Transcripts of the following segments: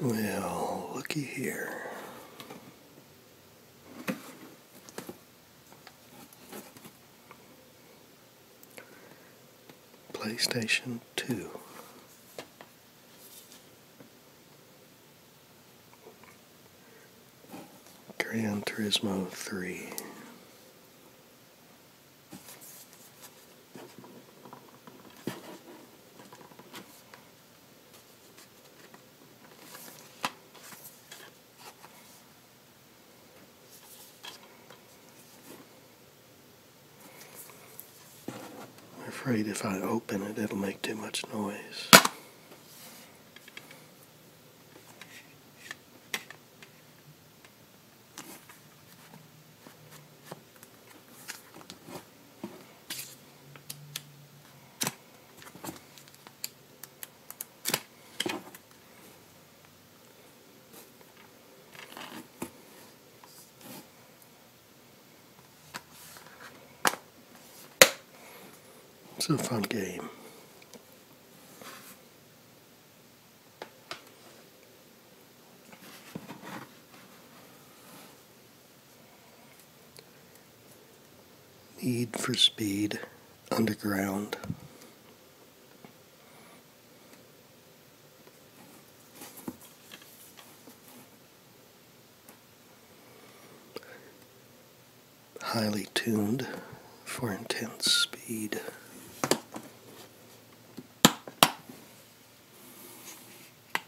Well, looky here. PlayStation 2. Gran Turismo 3. I'm afraid if I open it, it'll make too much noise. It's a fun game. Need for Speed Underground. Highly tuned for intense speed.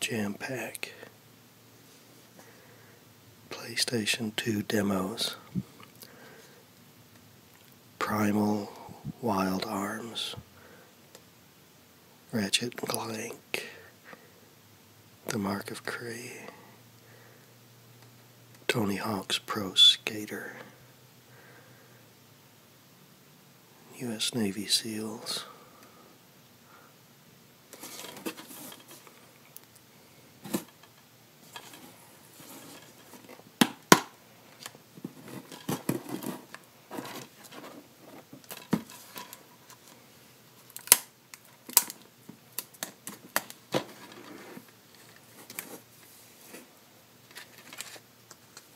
jam pack PlayStation 2 demos Primal Wild Arms Ratchet and Clank The Mark of Kree Tony Hawk's Pro Skater U.S. Navy SEALs.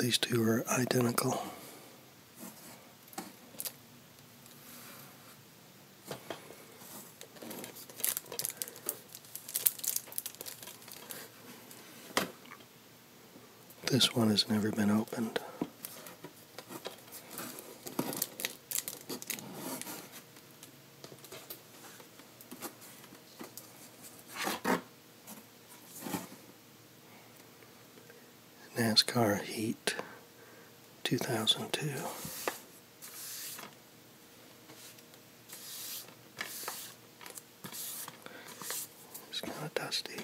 these two are identical. This one has never been opened. NASCAR Heat 2002. It's kind of dusty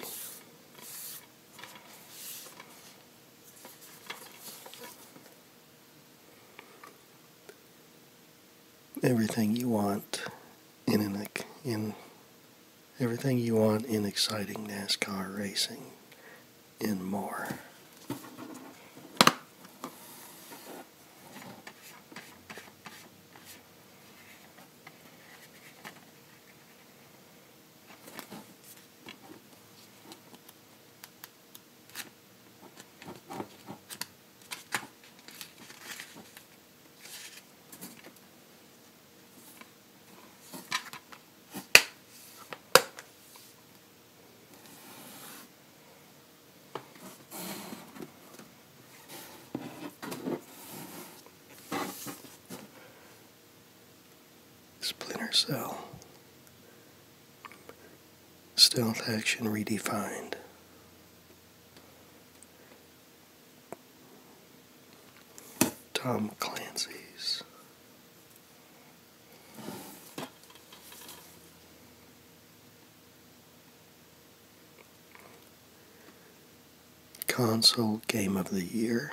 everything you want in in everything you want in exciting NASCAR racing and more. Splinter cell Stealth Action Redefined. Tom Clancy's. Console Game of the Year.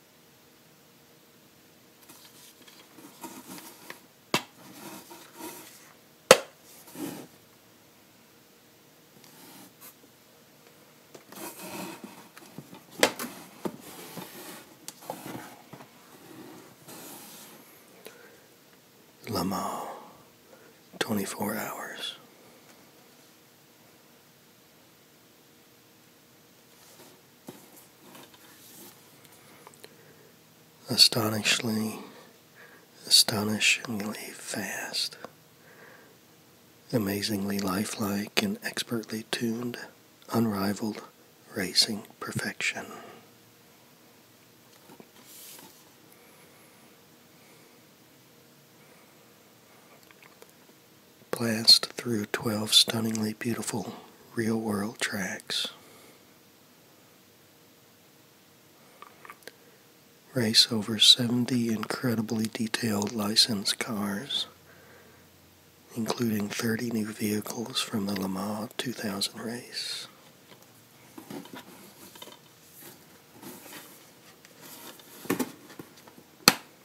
Lamau, 24 hours astonishingly, astonishingly fast, amazingly lifelike and expertly tuned, unrivaled racing perfection blast through 12 stunningly beautiful real world tracks. Race over 70 incredibly detailed licensed cars, including 30 new vehicles from the Lamar 2000 race.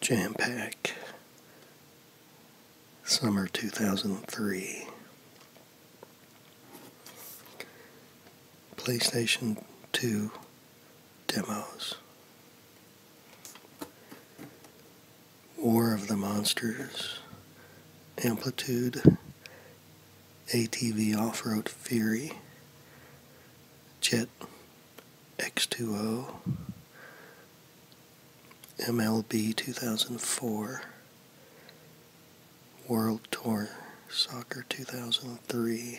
Jam Pack, Summer 2003. PlayStation 2 demos. War of the Monsters, Amplitude, ATV Off Road Fury, Jet X2O, MLB 2004, World Tour Soccer 2003.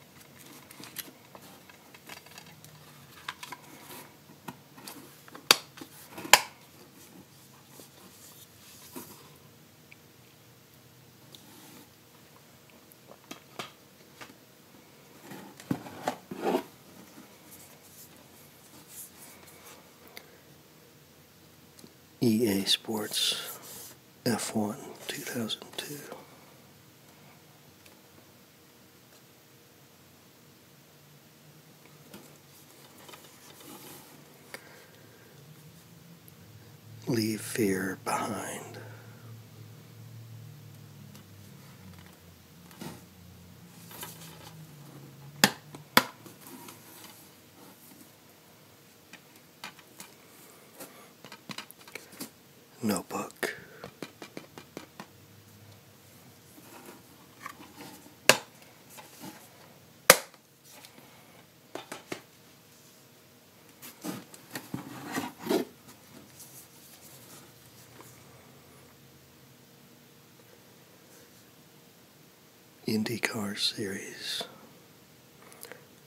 EA Sports F1 2002. Leave fear behind notebook. IndyCar series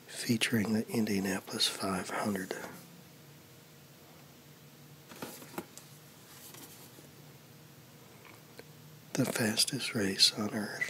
featuring the Indianapolis 500. The fastest race on earth.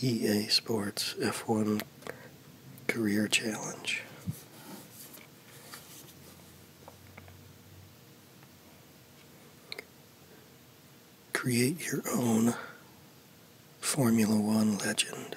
EA Sports F1 Career Challenge. Create your own Formula One legend.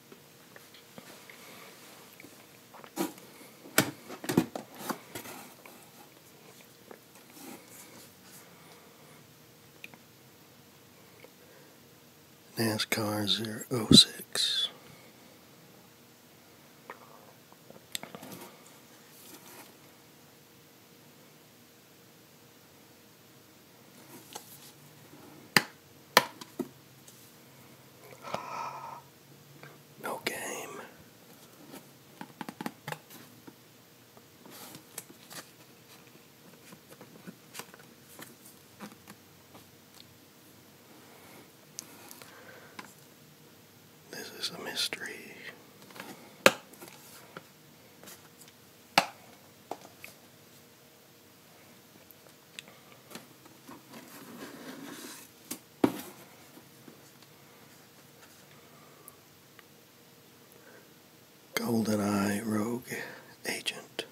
NASCAR 006. No game. This is a mystery. GoldenEye Rogue Agent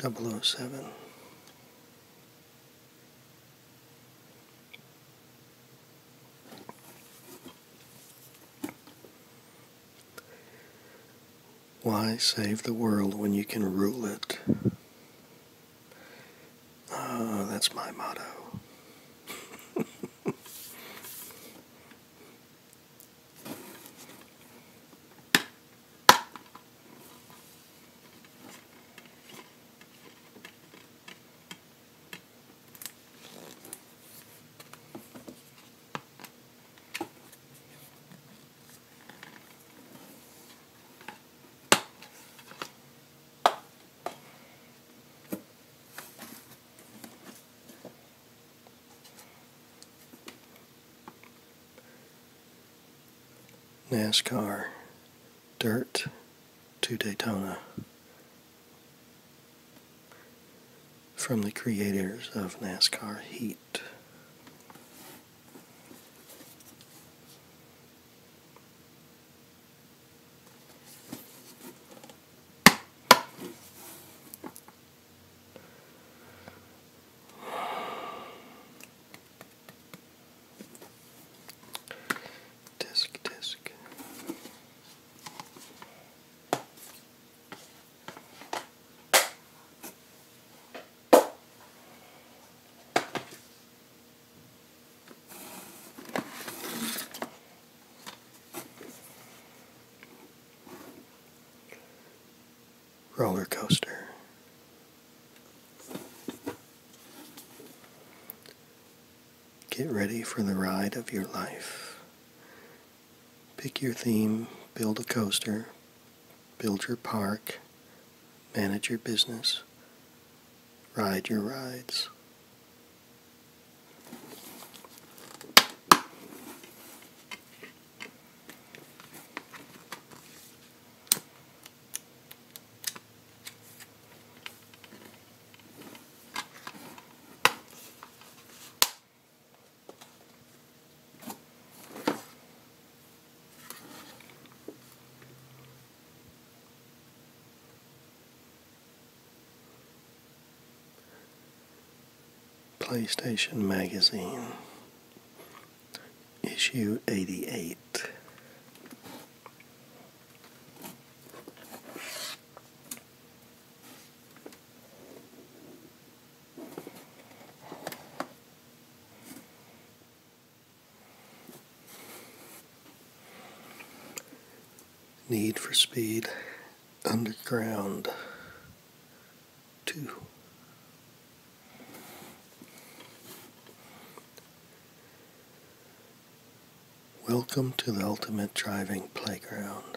007. Why save the world when you can rule it? Uh, that's my motto. NASCAR Dirt to Daytona from the creators of NASCAR Heat. Disc, disc roller coaster. Get ready for the ride of your life. Pick your theme, build a coaster, build your park, manage your business, ride your rides. PlayStation Magazine, issue 88. Need for Speed Underground 2. Welcome to the Ultimate Driving Playground.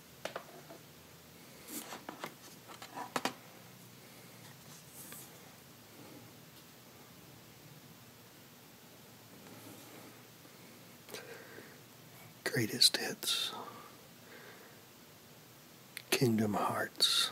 Greatest hits. Kingdom Hearts.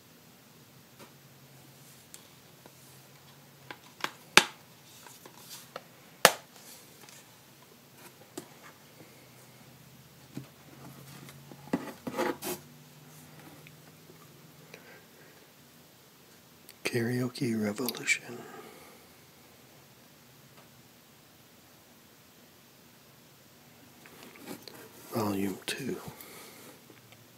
Karaoke Revolution. Volume 2.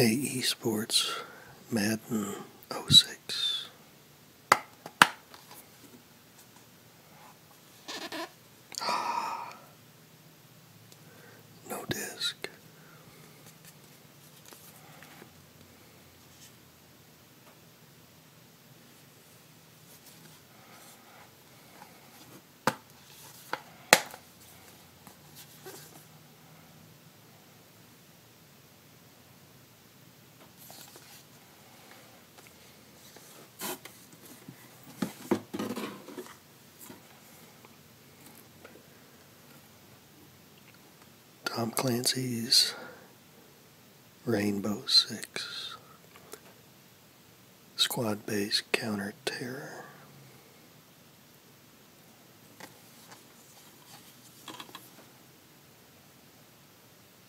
AE Sports Madden 06. Ah, no disc. Tom Clancy's Rainbow Six Squad Based Counter Terror.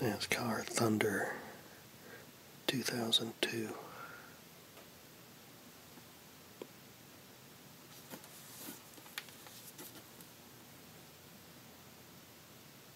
NASCAR Thunder 2002.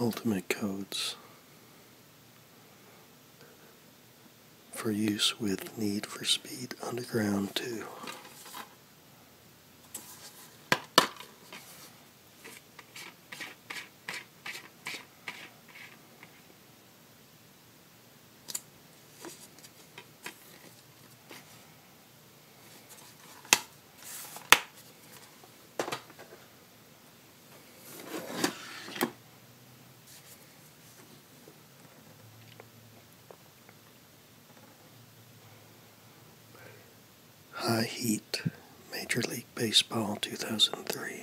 ultimate codes for use with Need for Speed Underground 2. High Heat, Major League Baseball 2003.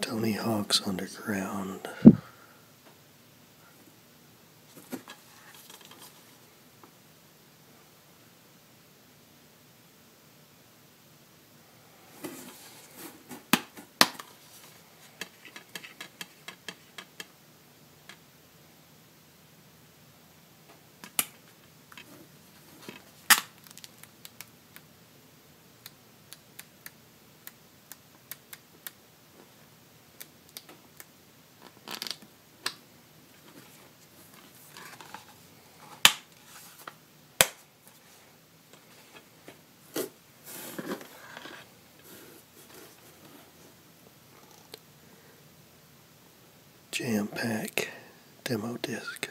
Tony Hawk's Underground. Jam Pack Demo Disc.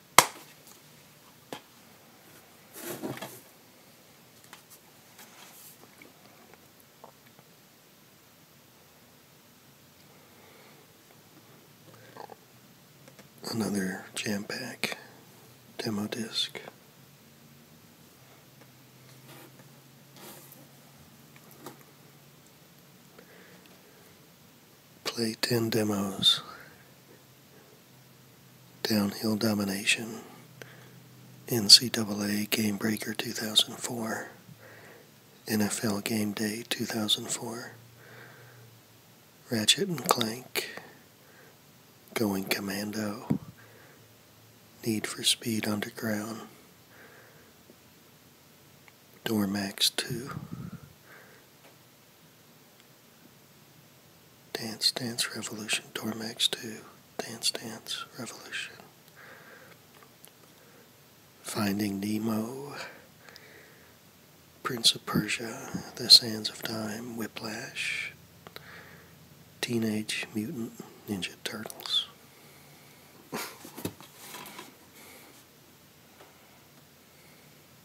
Another jam pack demo disc. Play 10 demos. Downhill Domination. NCAA Game Breaker 2004. NFL Game Day 2004. Ratchet and Clank. Going Commando. Need for Speed Underground. Dormax 2. Dance Dance Revolution, Dormax 2, Dance Dance Revolution, Finding Nemo, Prince of Persia, The Sands of Time, Whiplash, Teenage Mutant Ninja Turtles.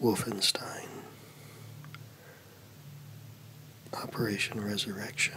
Wolfenstein, Operation Resurrection.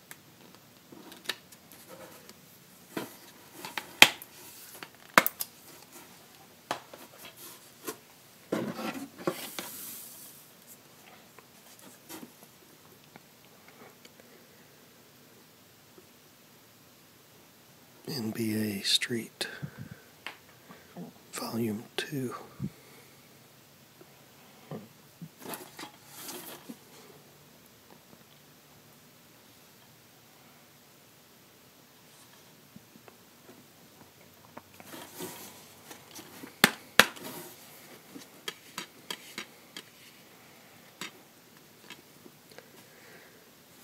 NBA Street, Volume 2.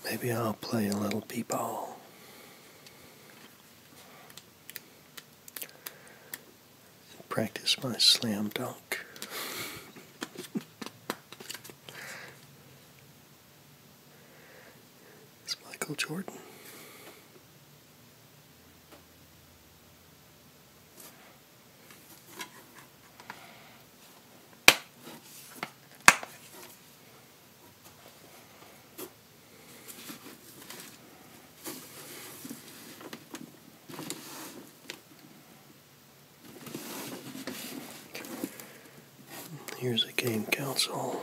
Maybe I'll play a little b-ball practice my slam dunk. it's Michael Jordan. Here's a game console.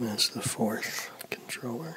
That's the fourth controller.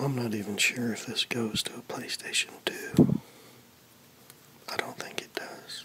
I'm not even sure if this goes to a PlayStation 2. I don't think it does.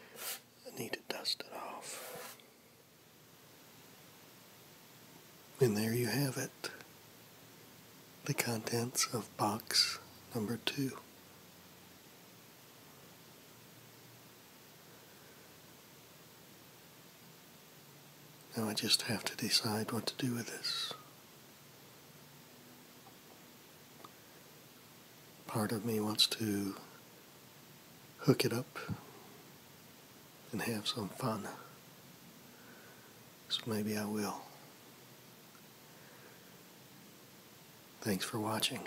I need to dust it off. And there you have it the contents of box number two. Now I just have to decide what to do with this. Part of me wants to hook it up and have some fun. So maybe I will. Thanks for watching.